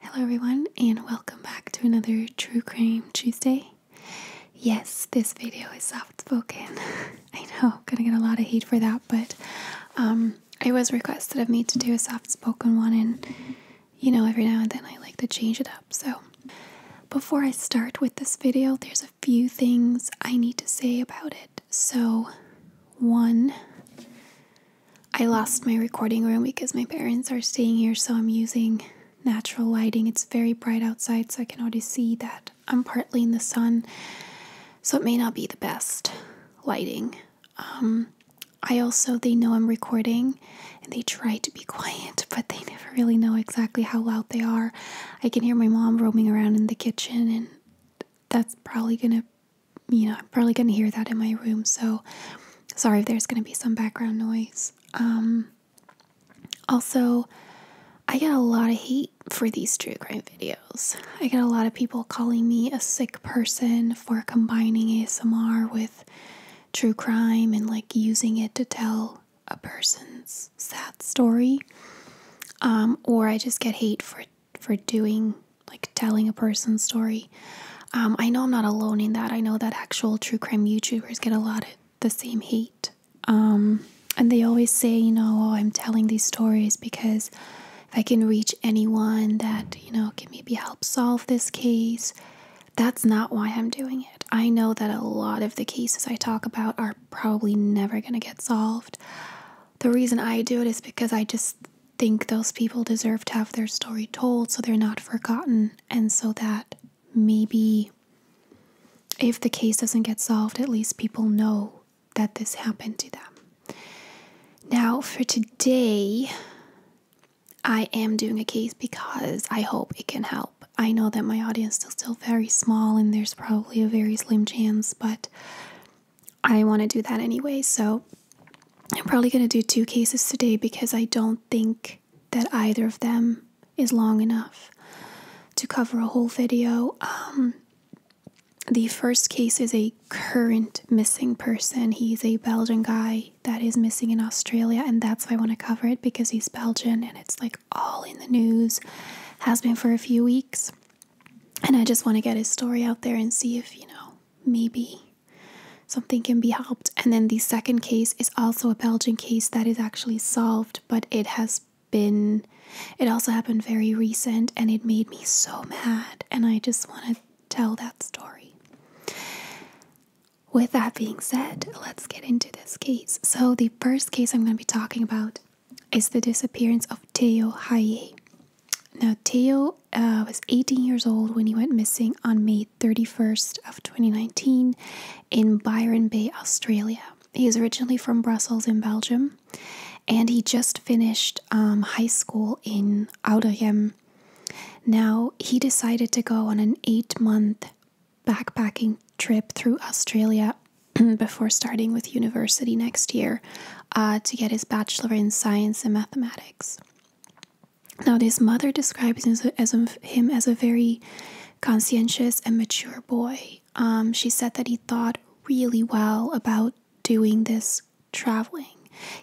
Hello, everyone, and welcome back to another True Crime Tuesday. Yes, this video is soft spoken. I know, gonna get a lot of heat for that, but um, it was requested of me to do a soft spoken one, and you know, every now and then I like to change it up. So, before I start with this video, there's a few things I need to say about it. So, one, I lost my recording room because my parents are staying here, so I'm using natural lighting. It's very bright outside, so I can already see that I'm partly in the sun, so it may not be the best lighting. Um, I also, they know I'm recording and they try to be quiet, but they never really know exactly how loud they are. I can hear my mom roaming around in the kitchen, and that's probably gonna you know, I'm probably going to hear that in my room. So sorry if there's going to be some background noise. Um, also, I get a lot of hate for these true crime videos. I get a lot of people calling me a sick person for combining ASMR with true crime and like using it to tell a person's sad story. Um, or I just get hate for for doing like telling a person's story. Um, I know I'm not alone in that. I know that actual true crime YouTubers get a lot of the same hate. Um, and they always say, you know, oh, I'm telling these stories because if I can reach anyone that, you know, can maybe help solve this case, that's not why I'm doing it. I know that a lot of the cases I talk about are probably never going to get solved. The reason I do it is because I just think those people deserve to have their story told so they're not forgotten, and so that maybe if the case doesn't get solved, at least people know that this happened to them. Now, for today, I am doing a case because I hope it can help. I know that my audience is still very small and there's probably a very slim chance, but I want to do that anyway. So I'm probably going to do two cases today because I don't think that either of them is long enough to cover a whole video. Um, the first case is a current missing person. He's a Belgian guy that is missing in Australia, and that's why I want to cover it because he's Belgian and it's like all in the news, has been for a few weeks. And I just want to get his story out there and see if, you know, maybe something can be helped. And then the second case is also a Belgian case that is actually solved, but it has been, it also happened very recent and it made me so mad. And I just want to tell that story. With that being said, let's get into this case. So, the first case I'm going to be talking about is the disappearance of Theo Haye. Now, Theo Michael uh, was 18 years old when he went missing on May 31st of 2019 in Byron Bay, Australia. He was originally from Brussels in Belgium, and he just finished um, high school in Oudergem. Now he decided to go on an eight-month backpacking trip through Australia before starting with university next year uh, to get his bachelor in science and mathematics. Now, his mother describes him as, a, very conscientious and mature boy. Um, she said that he thought really well about doing this traveling.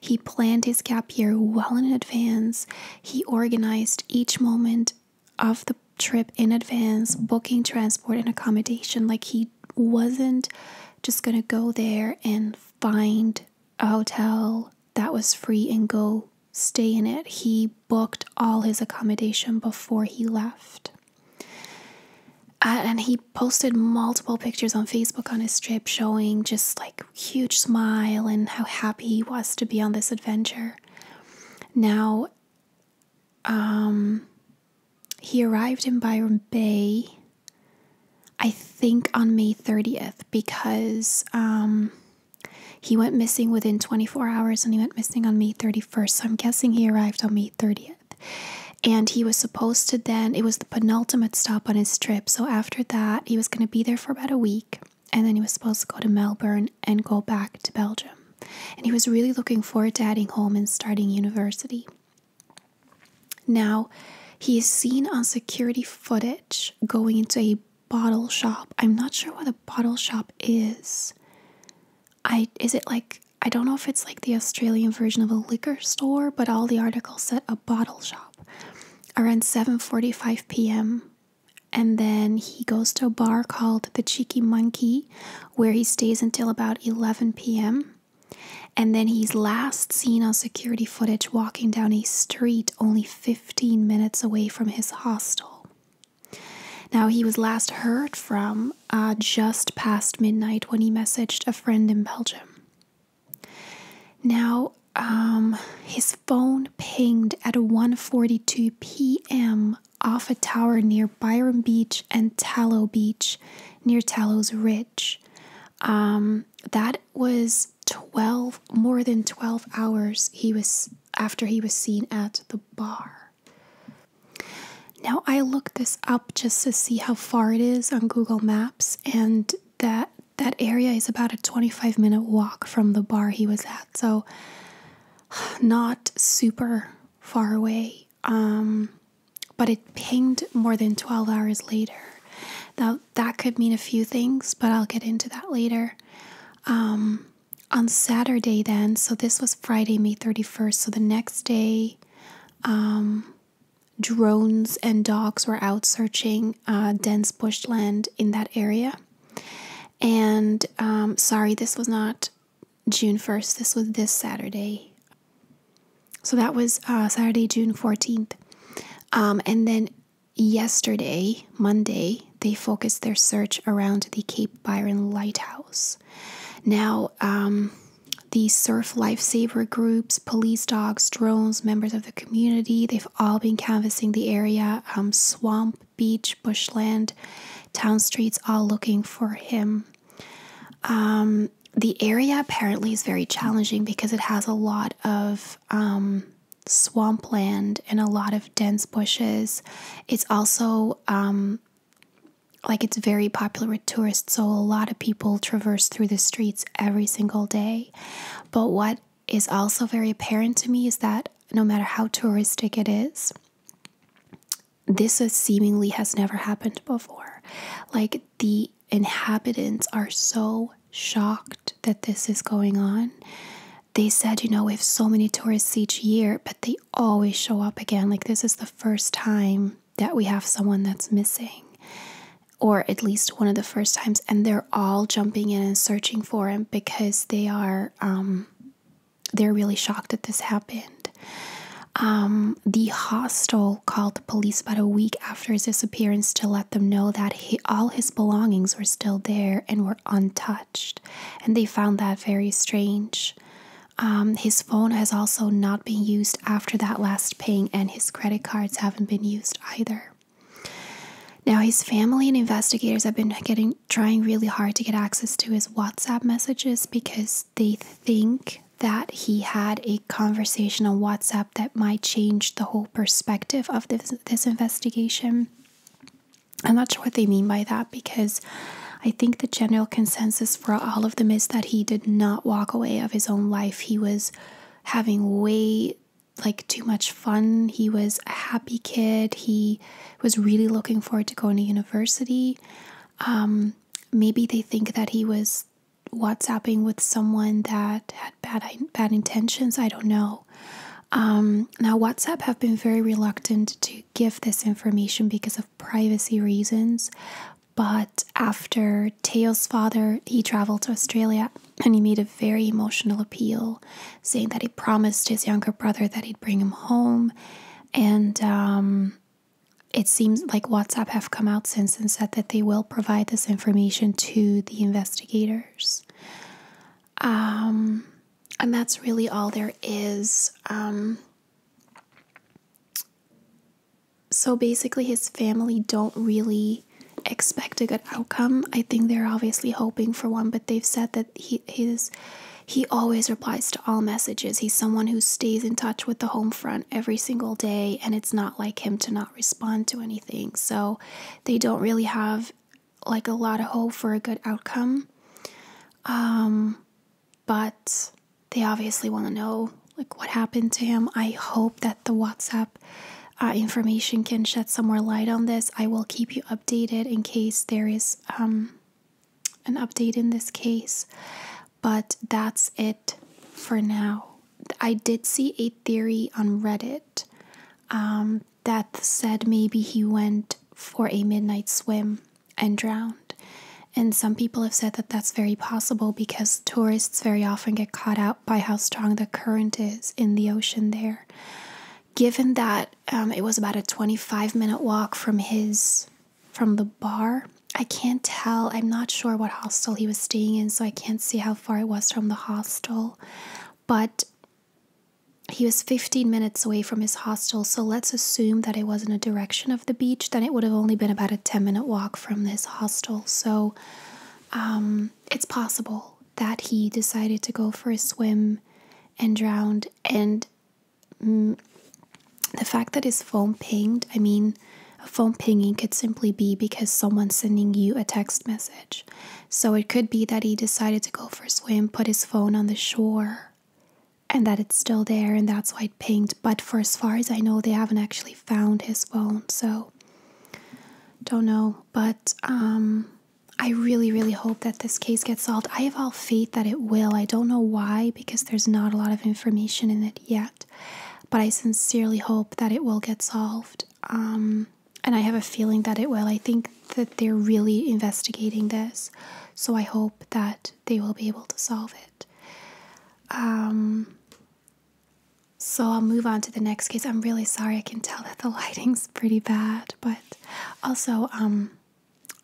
He planned his gap year well in advance. He organized each moment of the trip in advance, booking transport and accommodation. Like he wasn't just going to go there and find a hotel that was free and go stay in it. He booked all his accommodation before he left. and he posted multiple pictures on Facebook on his trip showing just like huge smile and how happy he was to be on this adventure. Now, um, he arrived in Byron Bay I think on May 30th because um, he went missing within 24 hours and he went missing on May 31st. So I'm guessing he arrived on May 30th. And he was supposed to then, it was the penultimate stop on his trip. So after that, he was going to be there for about a week. And then he was supposed to go to Melbourne and go back to Belgium. And he was really looking forward to heading home and starting university. Now, he is seen on security footage going into a bottle shop. I'm not sure what a bottle shop is. I is it like I don't know if it's like the Australian version of a liquor store, but all the articles said a bottle shop around 7:45 p.m. And then he goes to a bar called the Cheeky Monkey where he stays until about 11 p.m. And then he's last seen on security footage walking down a street only 15 minutes away from his hostel. Now, he was last heard from uh, just past midnight when he messaged a friend in Belgium. Now, um, his phone pinged at 1:42 p.m. off a tower near Byron Beach and Tallow Beach, near Tallow's Ridge. Um, that was 12 more than 12 hours he was after he was seen at the bar. Now I looked this up just to see how far it is on Google Maps and that that area is about a 25 minute walk from the bar he was at. So not super far away. Um but it pinged more than 12 hours later. That that could mean a few things, but I'll get into that later. Um, on Saturday, then, so this was Friday, May 31st, so the next day, um, drones and dogs were out searching uh, dense bushland in that area. And um, sorry, this was not June 1st, this was this Saturday. So that was uh, Saturday, June 14th. Um, and then yesterday, Monday, they focused their search around the Cape Byron Lighthouse. Now, um, the surf lifesaver groups, police dogs, drones, members of the community, they've all been canvassing the area, um, swamp, beach, bushland, town streets, all looking for him. Um, the area apparently is very challenging because it has a lot of um, swampland and a lot of dense bushes. It's also um, like it's very popular with tourists, so a lot of people traverse through the streets every single day. But what is also very apparent to me is that no matter how touristic it is, this seemingly has never happened before. Like the inhabitants are so shocked that this is going on. They said, you know, we have so many tourists each year, but they always show up again. Like, this is the first time that we have someone that's missing, or at least one of the first times. And they're all jumping in and searching for him because they are, um, they're really shocked that this happened. Um, the hostel called the police about a week after his disappearance to let them know that all his belongings were still there and were untouched, and they found that very strange. Um, his phone has also not been used after that last ping, and his credit cards haven't been used either. Now, his family and investigators have been getting trying really hard to get access to his WhatsApp messages because they think that he had a conversation on WhatsApp that might change the whole perspective of this, investigation. I'm not sure what they mean by that because I think the general consensus for all of them is that he did not walk away of his own life. He was having way like too much fun. He was a happy kid. He was really looking forward to going to university. Um, maybe they think that he was WhatsApping with someone that had bad bad intentions. I don't know. Um, now, WhatsApp have been very reluctant to give this information because of privacy reasons. But after Teo's father, he traveled to Australia and he made a very emotional appeal, saying that he promised his younger brother that he'd bring him home. And um, it seems like WhatsApp have come out since and said that they will provide this information to the investigators. Um, and that's really all there is. Um, so basically, his family don't really expect a good outcome. I think they're obviously hoping for one, but they've said that he his he always replies to all messages. He's someone who stays in touch with the home front every single day, and it's not like him to not respond respond to anything. So they don't really have like a lot of hope for a good outcome. Um, but they obviously want to know like what happened to him. I hope that the WhatsApp uh, information can shed some more light on this. I will keep you updated in case there is um, an update in this case. But that's it for now. I did see a theory on Reddit um, that said maybe he went for a midnight swim and drowned. And some people have said that that's very possible because tourists very often get caught out by how strong the current is in the ocean there. Given that um, it was about a 25 minute walk from his from the bar, I can't tell. I'm not sure what hostel he was staying in, so I I can't see how far it was from the hostel, but he was 15 minutes away from his hostel. So let's assume that it was in a direction of the beach, then it would have only been about a 10 minute walk from his hostel. So um, it's possible that he decided to go for a swim and drowned. And mm, the fact that his phone pinged, I mean, a phone pinging could simply be because someone's sending you a text message. So it could be that he decided to go for a swim, put his phone on the shore, and that it's still there, and that's why it pinged. But for as far as I know, they haven't actually found his phone, so don't know. But um, I really, really hope that this case gets solved. I have all faith that it will. I don't know why, because there's not a lot of information in it yet. But I sincerely hope that it will get solved. Um, and I have a feeling that it will. I think that they're really investigating this, so I hope that they will be able to solve it. Um, so I'll move on to the next case. I'm really sorry. I can tell that the lighting's pretty bad, but also um,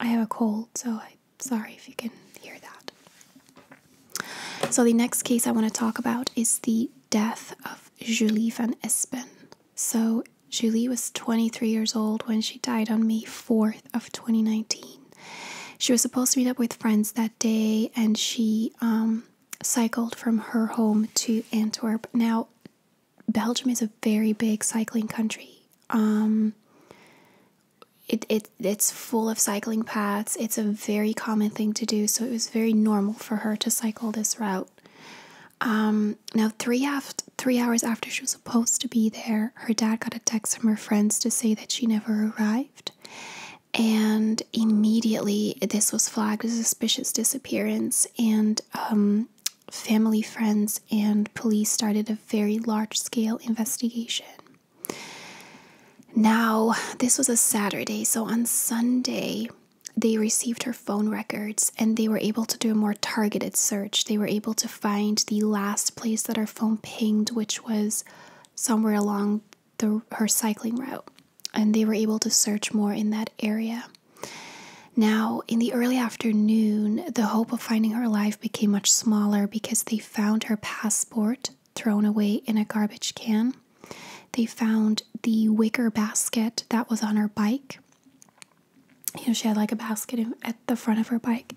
I have a cold, so i sorry if you can hear that. So the next case I want to talk about is the death of Julie van Espen. So Julie was 23 years old when she died on May 4th of 2019. She was supposed to meet up with friends that day and she um, cycled from her home to Antwerp. Now, Belgium is a very big cycling country. Um, it, it it's full of cycling paths. It's a very common thing to do, so it was very normal for her to cycle this route. Um, now, three, after, three hours after she was supposed to be there, her dad got a text from her friends to say that she never arrived. And immediately, this was flagged as suspicious disappearance, and um, family, friends, and police started a very large scale investigation. Now, this was a Saturday, so on Sunday, they received her phone records and they were able to do a more targeted search. They were able to find the last place that her phone pinged, which was somewhere along her cycling route. And they were able to search more in that area. Now, in the early afternoon, the hope of finding her life became much smaller because they found her passport thrown away in a garbage can. They found the wicker basket that was on her bike. You know, she had like a basket at the front of her bike.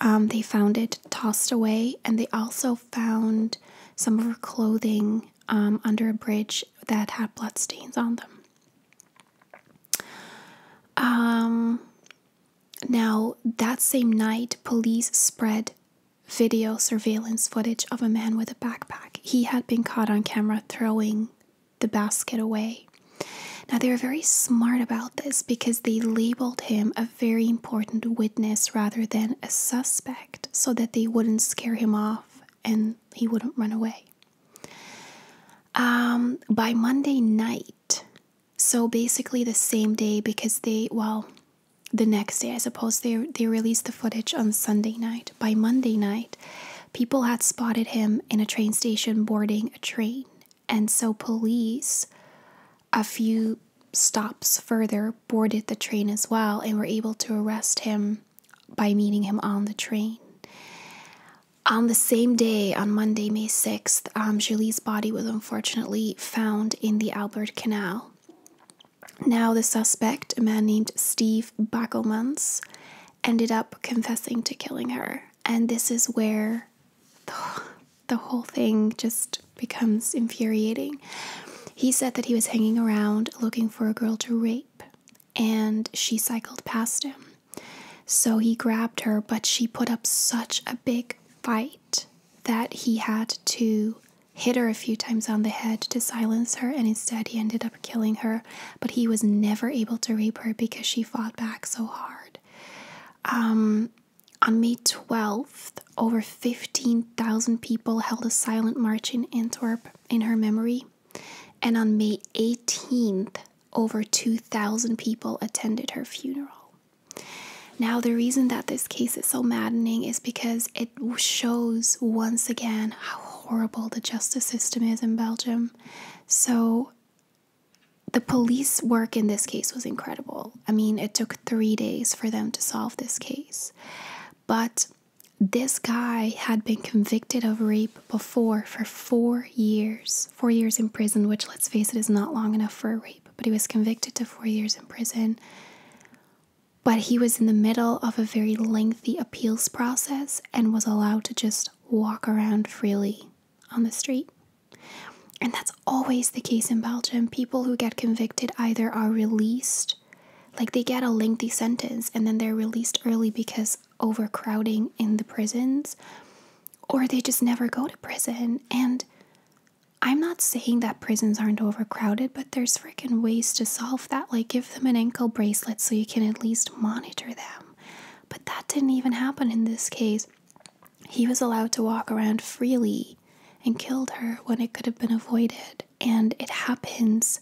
Um, they found it tossed away, and they also found some of her clothing um, under a bridge that had blood stains on them. Um, now, that same night, police spread video surveillance footage of a man with a backpack. He had been caught on camera throwing the basket away. Now, they were very smart about this because they labeled him a very important witness rather than a suspect so that they wouldn't scare him off and he wouldn't run away. Um, by Monday night, so basically the same day, because they, well, the next day, I suppose they they released the footage on Sunday night. By Monday night, people had spotted him in a train station boarding a train, and so police, a few stops further, boarded the train as well and were able to arrest him by meeting him on the train. On the same day, on Monday, May 6th, um, Julie's body was unfortunately found in the Albert Canal. Now, the suspect, a man named Steve Bagelmans, ended up confessing to killing her. And this is where the whole thing just becomes infuriating. He said that he was hanging around looking for a girl to rape, and she cycled past him. So he grabbed her, but she put up such a big fight that he had to hit her a few times on the head to silence her, and instead he ended up killing her. But he was never able to rape her because she fought back so hard. Um, on May 12th, over 15,000 people held a silent march in Antwerp in her memory. And on May 18th, over 2,000 people attended her funeral. Now, the reason that this case is so maddening is because it shows once again how horrible the justice system is in Belgium. So the police work in this case was incredible. I mean, it took three days for them to solve this case. But this guy had been convicted of rape before for four years, four years in prison, which let's face it is not long enough for a rape, but he was convicted to four years in prison. But he was in the middle of a very lengthy appeals process and was allowed to just walk around freely on the street. And that's always the case in Belgium. People who get convicted either are released, like they get a lengthy sentence and then they're released early because overcrowding in the prisons, or they just never go to prison. And I'm not saying that prisons aren't overcrowded, but there's freaking ways to solve that. Like, give them an ankle bracelet so you can at least monitor them. But that didn't even happen in this case. He was allowed to walk around freely and killed her when it could have been avoided. And it happens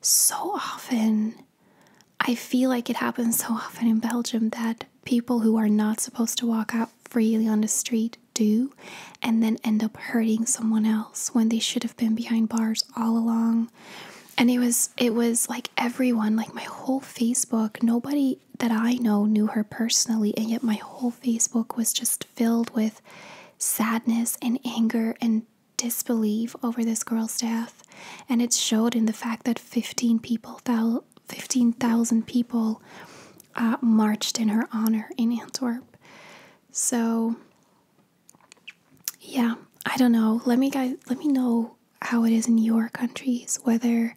so often. I feel like it happens so often in Belgium that people who are not supposed to walk out freely on the street do and then end up hurting someone else when they should have been behind bars all along and it was it was like everyone like my whole facebook nobody that i know knew her personally and yet my whole facebook was just filled with sadness and anger and disbelief over this girl's death and it showed in the fact that 15 people 15,000 people uh, marched in her honor in Antwerp so yeah, I don't know. Let me guys let me know how it is in your countries, whether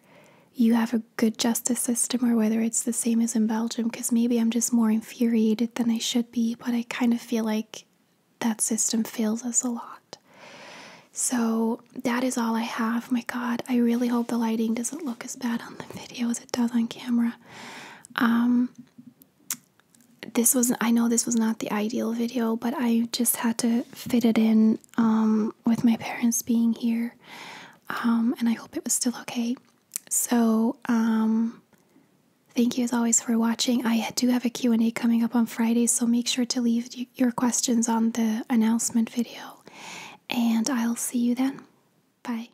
you have a good justice system or whether it's the same as in Belgium, because maybe I'm just more infuriated than I should be, but I kind of feel like that system fails us a lot. So that is all I have. My God, I really hope the lighting doesn't look as bad on the video as it does on camera. Um, this was I know this was not the ideal video, but I just had to fit it in um, with my parents being here, um, and I hope it was still okay. So um, thank you as always for watching. I do have a Q&A coming up on Friday, so make sure to leave your questions on the announcement video, and I'll see you then. Bye.